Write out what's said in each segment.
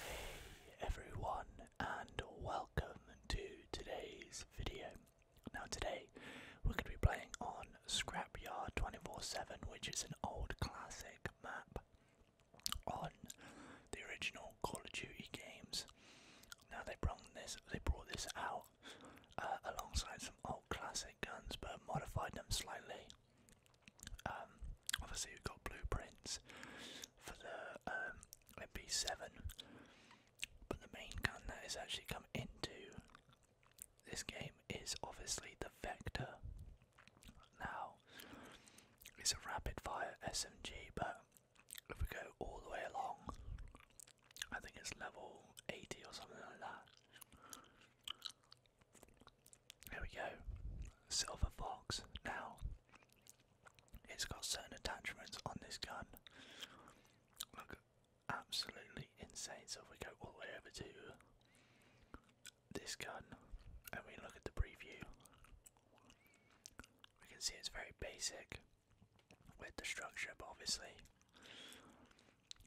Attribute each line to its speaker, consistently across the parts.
Speaker 1: Hey everyone and welcome to today's video. Now today we're going to be playing on Scrapyard 24-7 which is an old classic map on the original Call of Duty games. Now they brought this, they brought this out uh, alongside some old classic guns, but modified them slightly. Um, obviously, we've got blueprints for the um, MP7, but the main gun that is actually come into this game is obviously the Vector. Now, it's a rapid fire SMG, but if we go all the way along, I think it's level 80 or something like that. There we go, Silver Fox. Now, it's got certain attachments on this gun. Look, absolutely insane. So if we go all the way over to this gun and we look at the preview, we can see it's very basic with the structure, but obviously,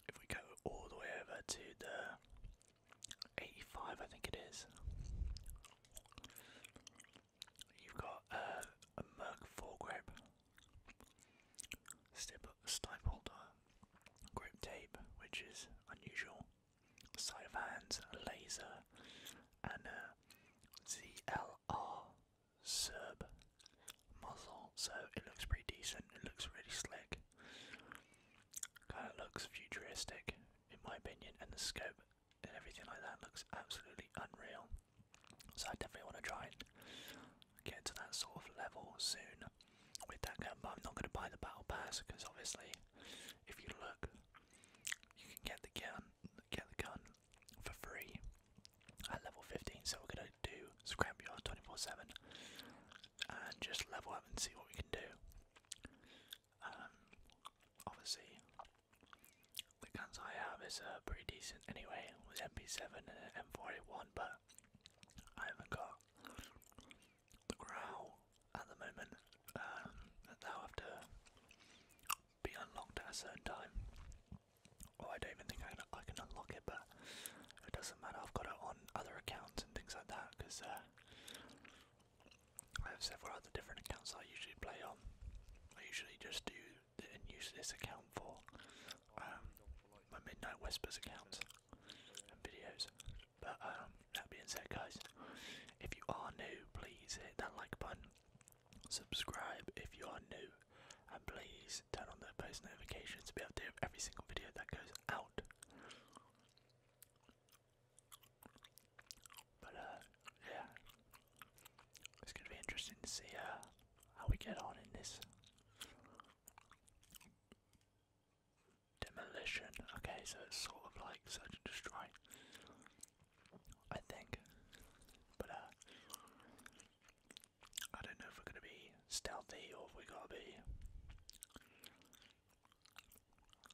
Speaker 1: if we go all the way over to the 85, I think it is, you've got a, a Merc foregrip, stippled grip tape, which is unusual, Side of hands, laser, and a ZLR Serb muzzle. So it looks pretty decent, it looks really slick, kind of looks futuristic in my opinion, and the scope and everything like that looks absolutely unreal. So I definitely want to try and get to that sort of level soon with that gun, I'm not going to buy the battle pass because obviously, if you look, you can get the gun, get the gun for free at level 15. So we're going to do scrapyard 24/7 and just level up and see what we can do. Um, obviously, the guns I have is uh, pretty decent anyway. with MP7 and m 41 but I haven't got the growl at the moment. Um, that they'll have to be unlocked at a certain time. Or well, I don't even think I can, I can unlock it, but it doesn't matter. I've got it on other accounts and things like that because uh, I have several other different accounts I usually play on. I usually just do the, and use this account for um, my Midnight Whispers account and videos. But um, that being said, guys, if you are new, please hit that like button. Subscribe if you are new, and please turn on the post notifications to be updated every single video that goes out. But uh, yeah, it's gonna be interesting to see uh, how we get on in this. Demolition. Okay, so it's sort of like such and destroy. I think. But uh I don't know if we're gonna be stealthy or if we gotta be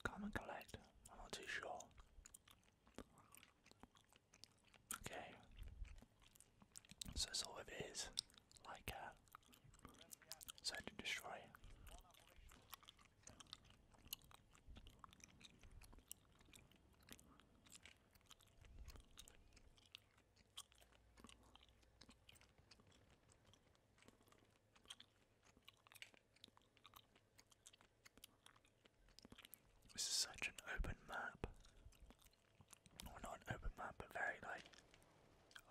Speaker 1: Come and collect. I'm not too sure. Okay. So sort of it is. like a uh, so to destroy. This is such an open map not open map, but very like.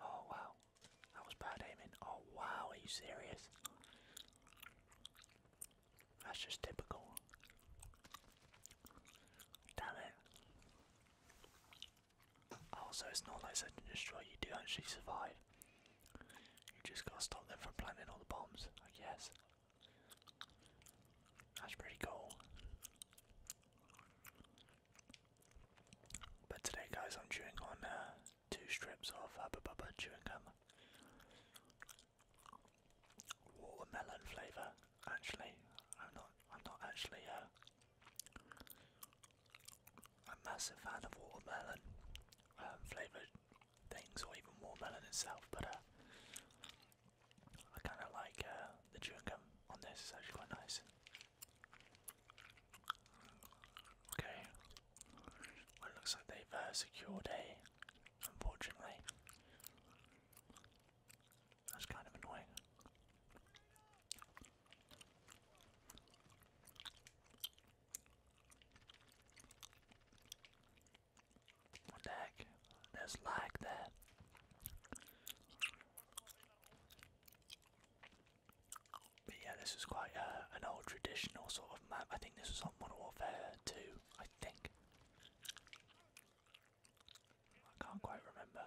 Speaker 1: Oh wow, that was bad aiming. Oh wow, are you serious? That's just typical. Damn it. Oh, it's not like search and destroy, you do actually survive. You just gotta stop them from planting all the bombs, I guess. That's pretty cool. But today, guys, I'm chewing on uh, two strips of Hubba uh, Bubba chewing gum. Watermelon flavour, actually. I'm not, I'm not actually uh, a massive fan of watermelon um, flavoured things or even watermelon itself, but uh, I kind of like the chewing gum on this, it's actually quite nice. Okay. Well, it looks like they've uh, secured A, unfortunately. That's kind of annoying. What the heck? There's lag but yeah, this was quite uh, an old traditional sort of map. I think this was on Modern Warfare 2, I think. I can't quite remember.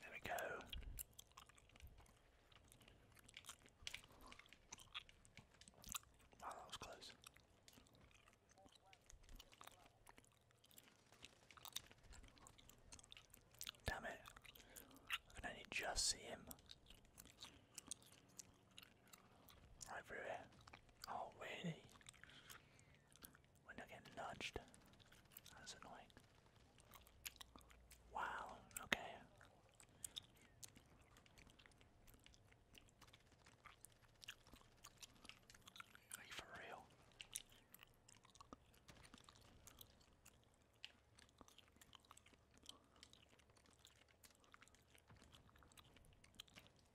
Speaker 1: There we go. Wow, oh, that was close. Damn it. I only just see him. Right through Oh, really? When they get nudged. That's annoying. Wow, okay. Are you for real?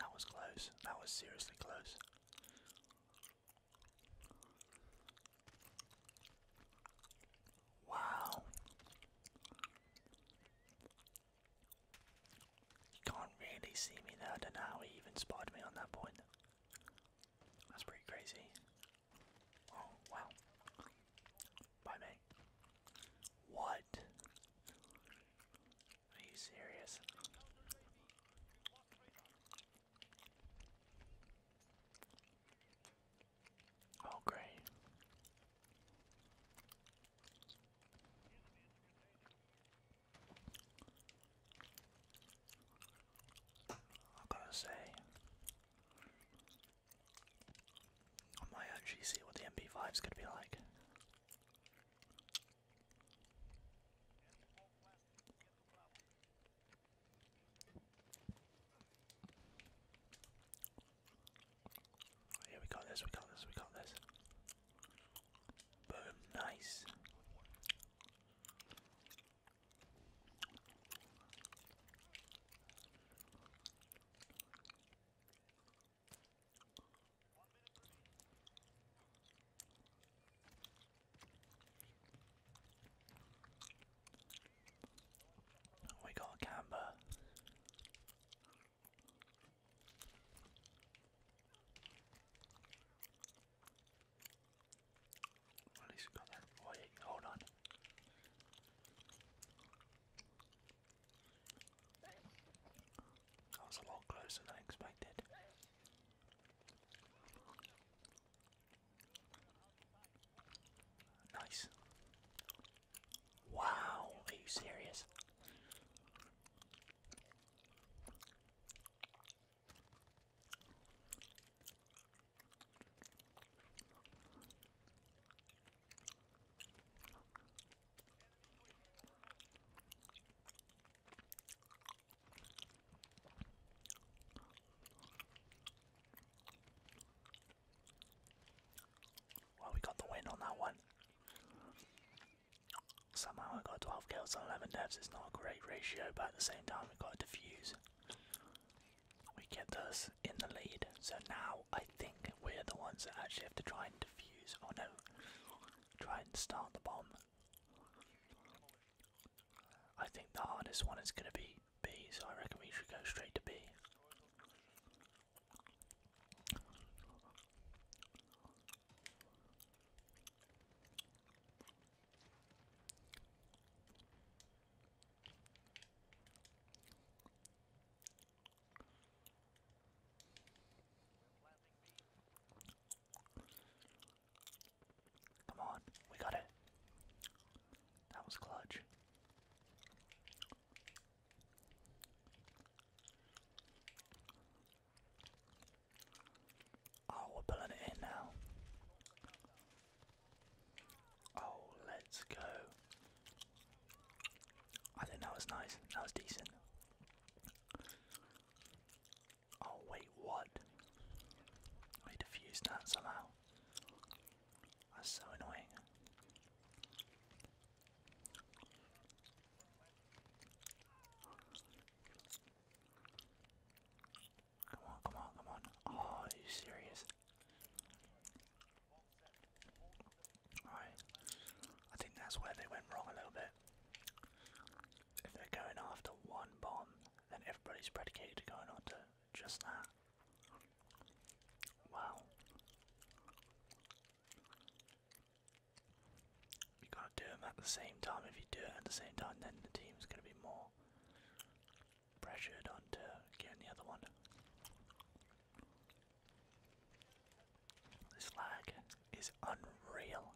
Speaker 1: That was close. That was seriously close. Wow. You can't really see me there. don't even spotted me on that point. That's pretty crazy. Oh, wow. Bye, mate. What? Are you serious? Oh, great. I gotta say, I might actually see what the MP5's gonna be like. Oh, yeah, we got this, we got this, we got this. Boom, nice. Oh, we got Camber. At least we got that. Wait, hold on. That was a lot closer than I expected. Nice. Wow, are you serious? Well, we got the win on that one. Somehow we got 12 kills and 11 deaths. It's not a great ratio, but at the same time, we got a defuse. We get us in the lead. So now I think we're the ones that actually have to try and defuse. Oh no. Try and start the bomb. I think the hardest one is going to be B, so I reckon we should go straight to B. Come on, we got it. That was clutch. Oh, we're pulling it in now. Oh, let's go. I think that was nice. That was decent. Oh wait, what? We defused that somehow. That's so annoying. Come on, come on, come on. Oh, are you serious? Right. I think that's where they went wrong a little bit. If they're going after one bomb, then everybody's predicated to going after just that. Wow. You gotta do them at the same time. If you do it at the same time, then the team's gonna be more pressured onto getting the other one. This lag is unreal.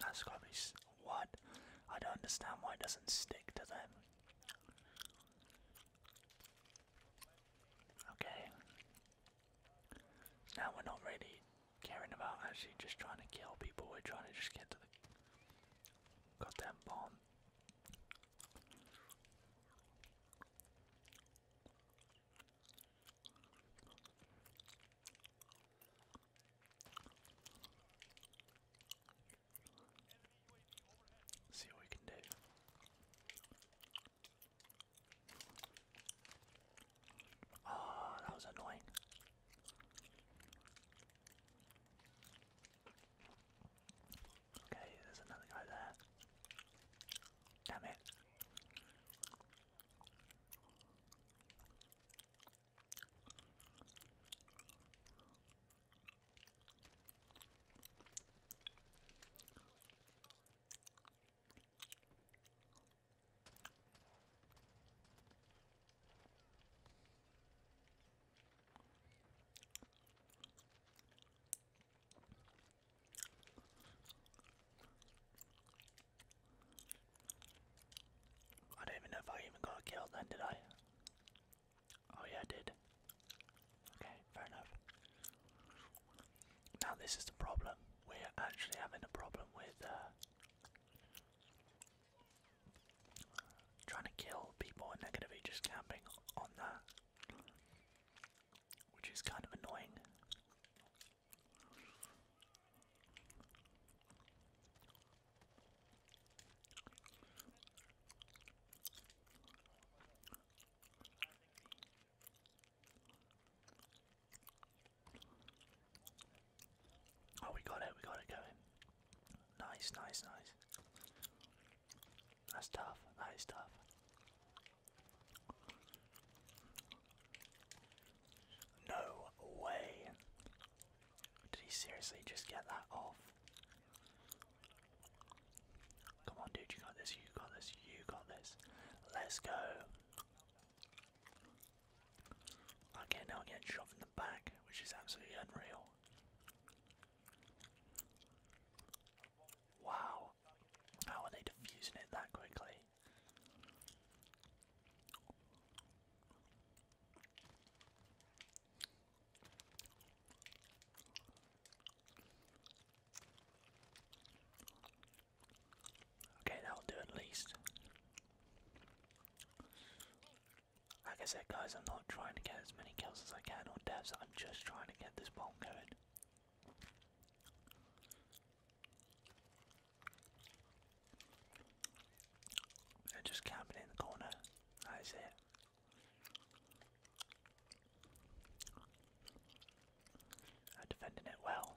Speaker 1: That's gotta be what? I don't understand why it doesn't stick to them. Okay, now we're not really caring about actually just trying to kill people, we're trying to just get to the goddamn bomb. See what we can do. Oh, that was annoying. Okay, there's another guy there. Damn it. I don't even know if I even got a kill then, did I? Oh, yeah, I did. Okay, fair enough. Now this is the problem. We're actually having a problem with uh, trying to kill people and they just camping on that, which is kind of annoying. Oh, we got it, we got it going. Nice, nice, nice. That's tough, that is tough. No way! Did he seriously just get that off? Come on, dude, you got this, you got this, you got this. Let's go. Okay, now I'm getting shot from the back, which is absolutely unreal. Wow, how are they diffusing it that quickly? Okay, that'll do at least. Like I said, guys, I'm not trying to get as many kills as I can or deaths, I'm just trying to get this bomb going. They're just camping in the corner. That is it defending it well.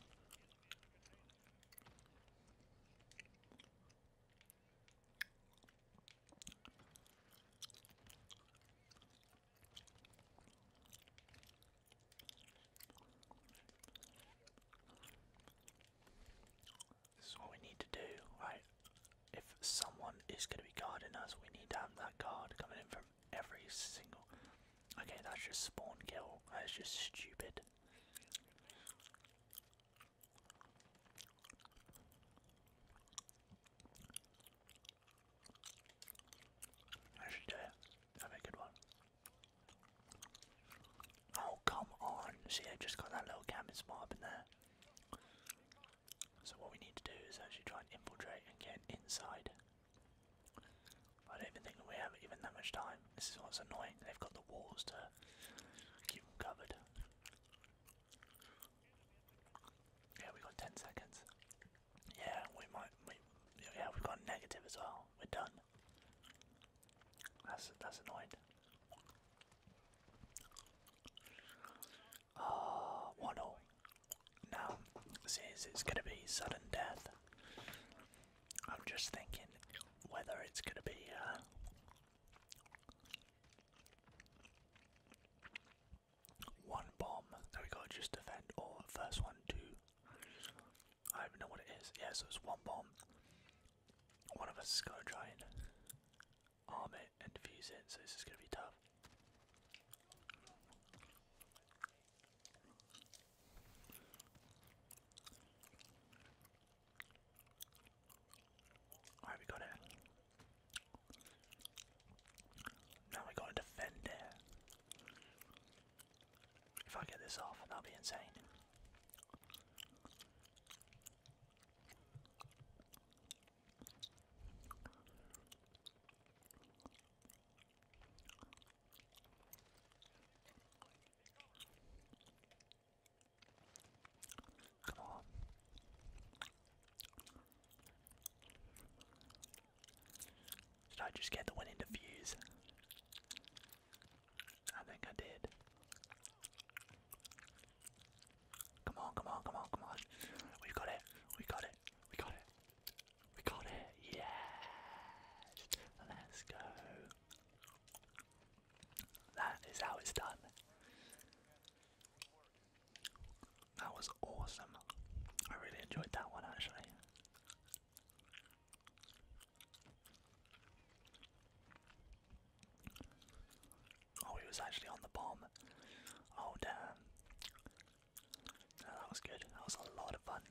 Speaker 1: This is what we need to do, right? If someone is going to be guarding us, we need to have that guard coming in from every single. Okay, that's just spawn kill. That's just stupid. I should do it. that a good one. Oh, come on. See, I just got that little cabin spot in there. So what we need to do is actually try and infiltrate and get inside. I don't even think that we have even that much time. This is what's annoying. They've got the walls to keep them covered. Yeah, we got 10 seconds. Yeah, we might. We, yeah, we've got negative as well. We're done. That's that's annoying. Uh, 1 Now, since it's going to be sudden death, I'm just thinking whether it's going to be. Uh, one bomb that we got to just defend, or first one, two. I don't know what it is. Yeah, so it's one bomb. One of us is gonna try arm it and defuse it, so this is going to be tough. we got it. Now we gotta defend it. If I get this off, that'll be insane. Come on. Did I just get the winning defuse? I think I did. Come on, come on, come on, come on. We got it. We got it. We got it. We got it. Yes. Let's go. That is how it's done. That was awesome. I really enjoyed that one actually. Oh, he was actually on the bomb. Oh, damn. that was good. That was a lot of fun.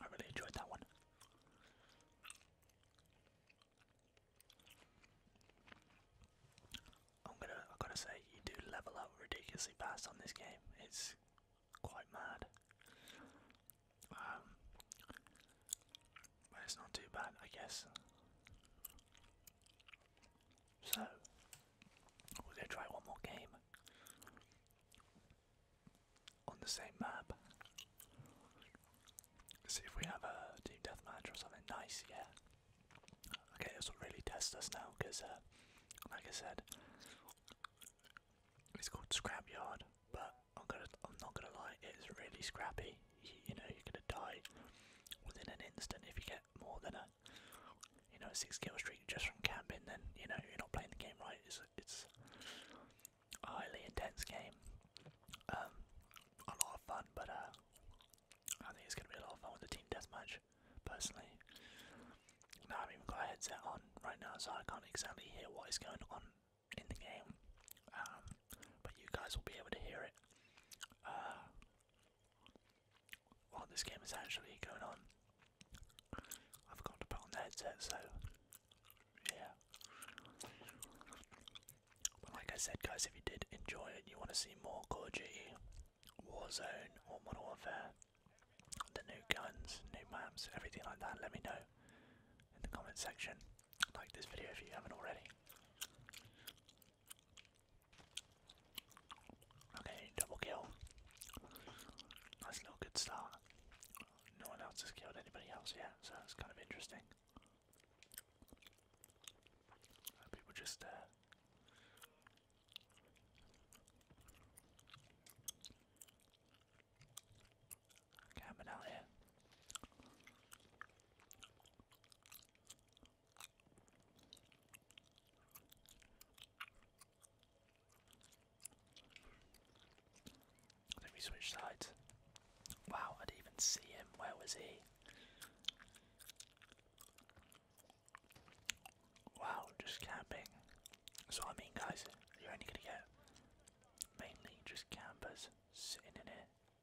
Speaker 1: I really enjoyed that one. I'm gonna, I gotta say, you do level up ridiculously fast on this game. It's quite mad. Um, but it's not too bad, I guess. So we're gonna try one more game on the same map. See if we have a team deathmatch or something nice, yeah. Okay, this will really test us now because, uh, like I said, it's called Scrapyard, but I'm gonna, I'm not gonna lie, it's really scrappy. you know, you're gonna die within an instant if you get more than a you know, six kill streak just from camping, then you know you're not playing the game right. It's it's a highly intense game, um, a lot of fun, but uh, I think it's gonna be a lot of fun with the team deathmatch. Personally, now I've even got a headset on right now, so I can't exactly hear what is going on in the game, um, but you guys will be able to hear it. Uh, while this game is actually going on. I forgot to put on the headset, so yeah. like I said, guys, if you did enjoy it, you want to see more Call Warzone, or Modern Warfare, the new guns, new maps, everything like that, let me know in the comment section. Like this video if you haven't already. Okay, double kill. That's a little good start. No one else has killed anybody else yet, so that's kind of interesting. People just, uh, I think we sides. Wow, I didn't even see him. Where was he? Wow, just camping. That's I mean, guys. You're only gonna get mainly just campers sitting in here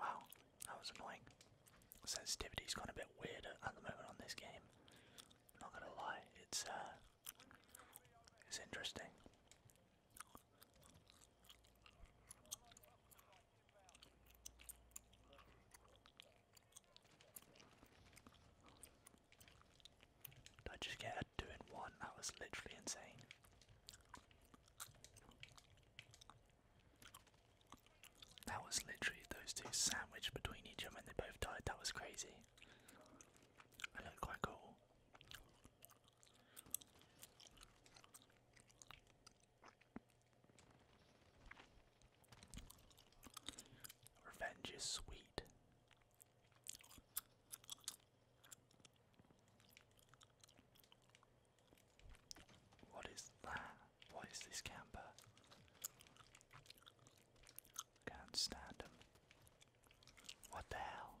Speaker 1: Wow, that was annoying. Sensitivity's gone a bit weird at the moment on this game. not gonna lie, it's uh, it's interesting. Did I just get a one? That was literally insane. That was literally those two sandwiched between each other and they both died. That was crazy. It looked quite cool. Revenge is sweet. What is that? What is this camper? Can't stand him. What the hell?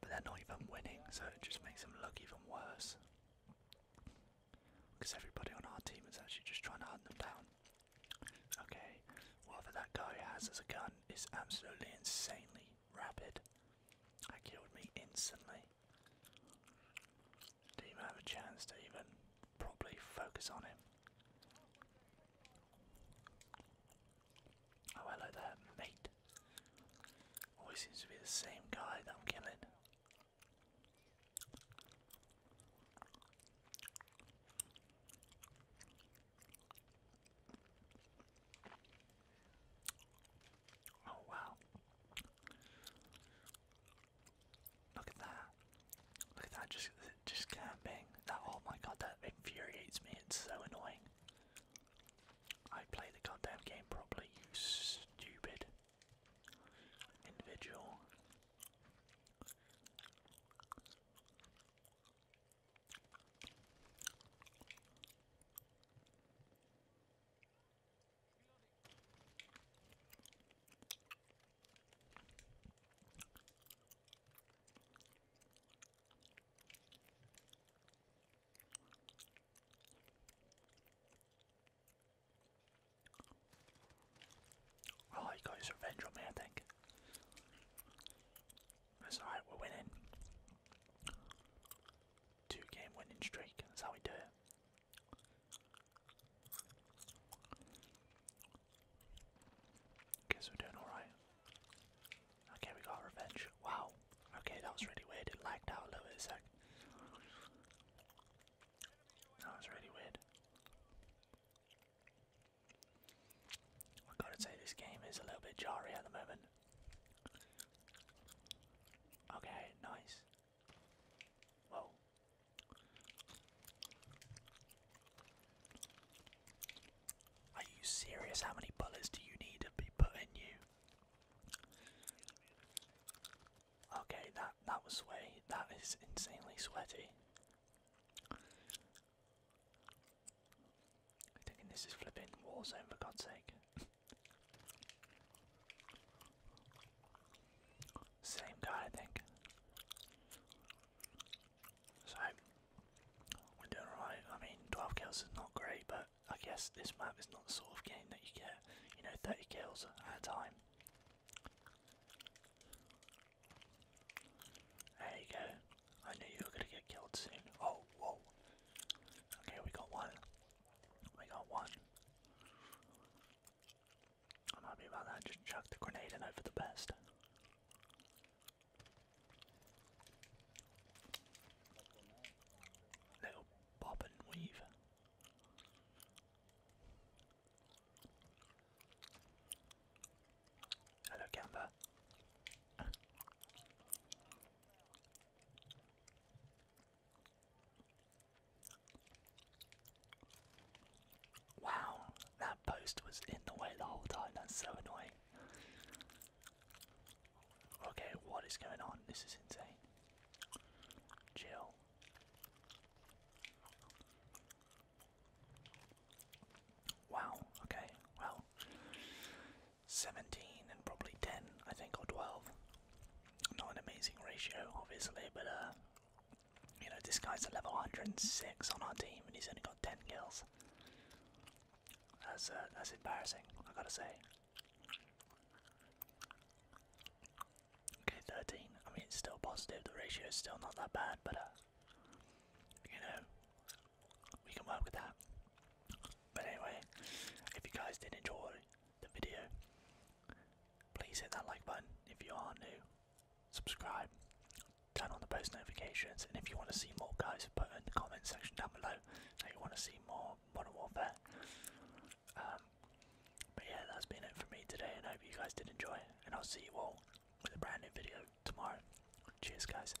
Speaker 1: But they're not even winning, so it just makes them look even worse. Because everybody on our team is actually just trying to hunt them down. Okay, whatever that guy has as a gun is absolutely insanely Rapid. That killed me instantly. Didn't even have a chance to even properly focus on him. Oh, hello there, mate. Always seems to be the same guy that I'm killing. Oh wow. Look at that. Look at that just just camping. That oh my god that infuriates me. It's so annoying. I play the goddamn game properly, you stupid individual. Well, oh, he got his revenge me, I think. That's alright, we're winning two game winning streak. That's how we do it. Guess we're doing alright. Okay, we got revenge. Wow. Okay, that was really weird. It lagged out a little bit That was really weird. I gotta say, this game is a little bit jarry at the moment. Okay, nice. Whoa. Are you serious? How many bullets do you need to be put you? Okay, that that was way that is insanely sweaty. I'm thinking this is flipping war zone for God's sake. Same guy, I think. So, we're doing alright. I mean, 12 kills is not great, but I guess this map is not the sort of game that you get, you know, 30 kills at a time. There you go. I knew you were going to get killed soon. Oh, whoa. Okay, we got one. We got one. I'm happy about that. Just chuck the grenade in for the best. Little bob and weave. Hello, Camber. Wow, that post was in the way the whole time. That's so annoying. Okay, what is going on? This is insane. Chill. Wow, okay, well, 17 and probably 10, I think, or 12. Not an amazing ratio, obviously, but uh, you know, this guy's a level 106 on our team and he's only got 10 kills. That's, uh, that's embarrassing, I gotta say. Okay, 13. I mean, it's still positive, the ratio is still not that bad, but uh, you know, we can work with that. But anyway, if you guys did enjoy the video, please hit that like button. If you are new, subscribe, turn on the post notifications, and if you want to see more, guys, put in the comment section down below If you want to see more Modern Warfare. Um, but yeah, that's been it for me today, and I hope you guys did enjoy. And I'll see you all with a brand new video tomorrow. Cheers, guys.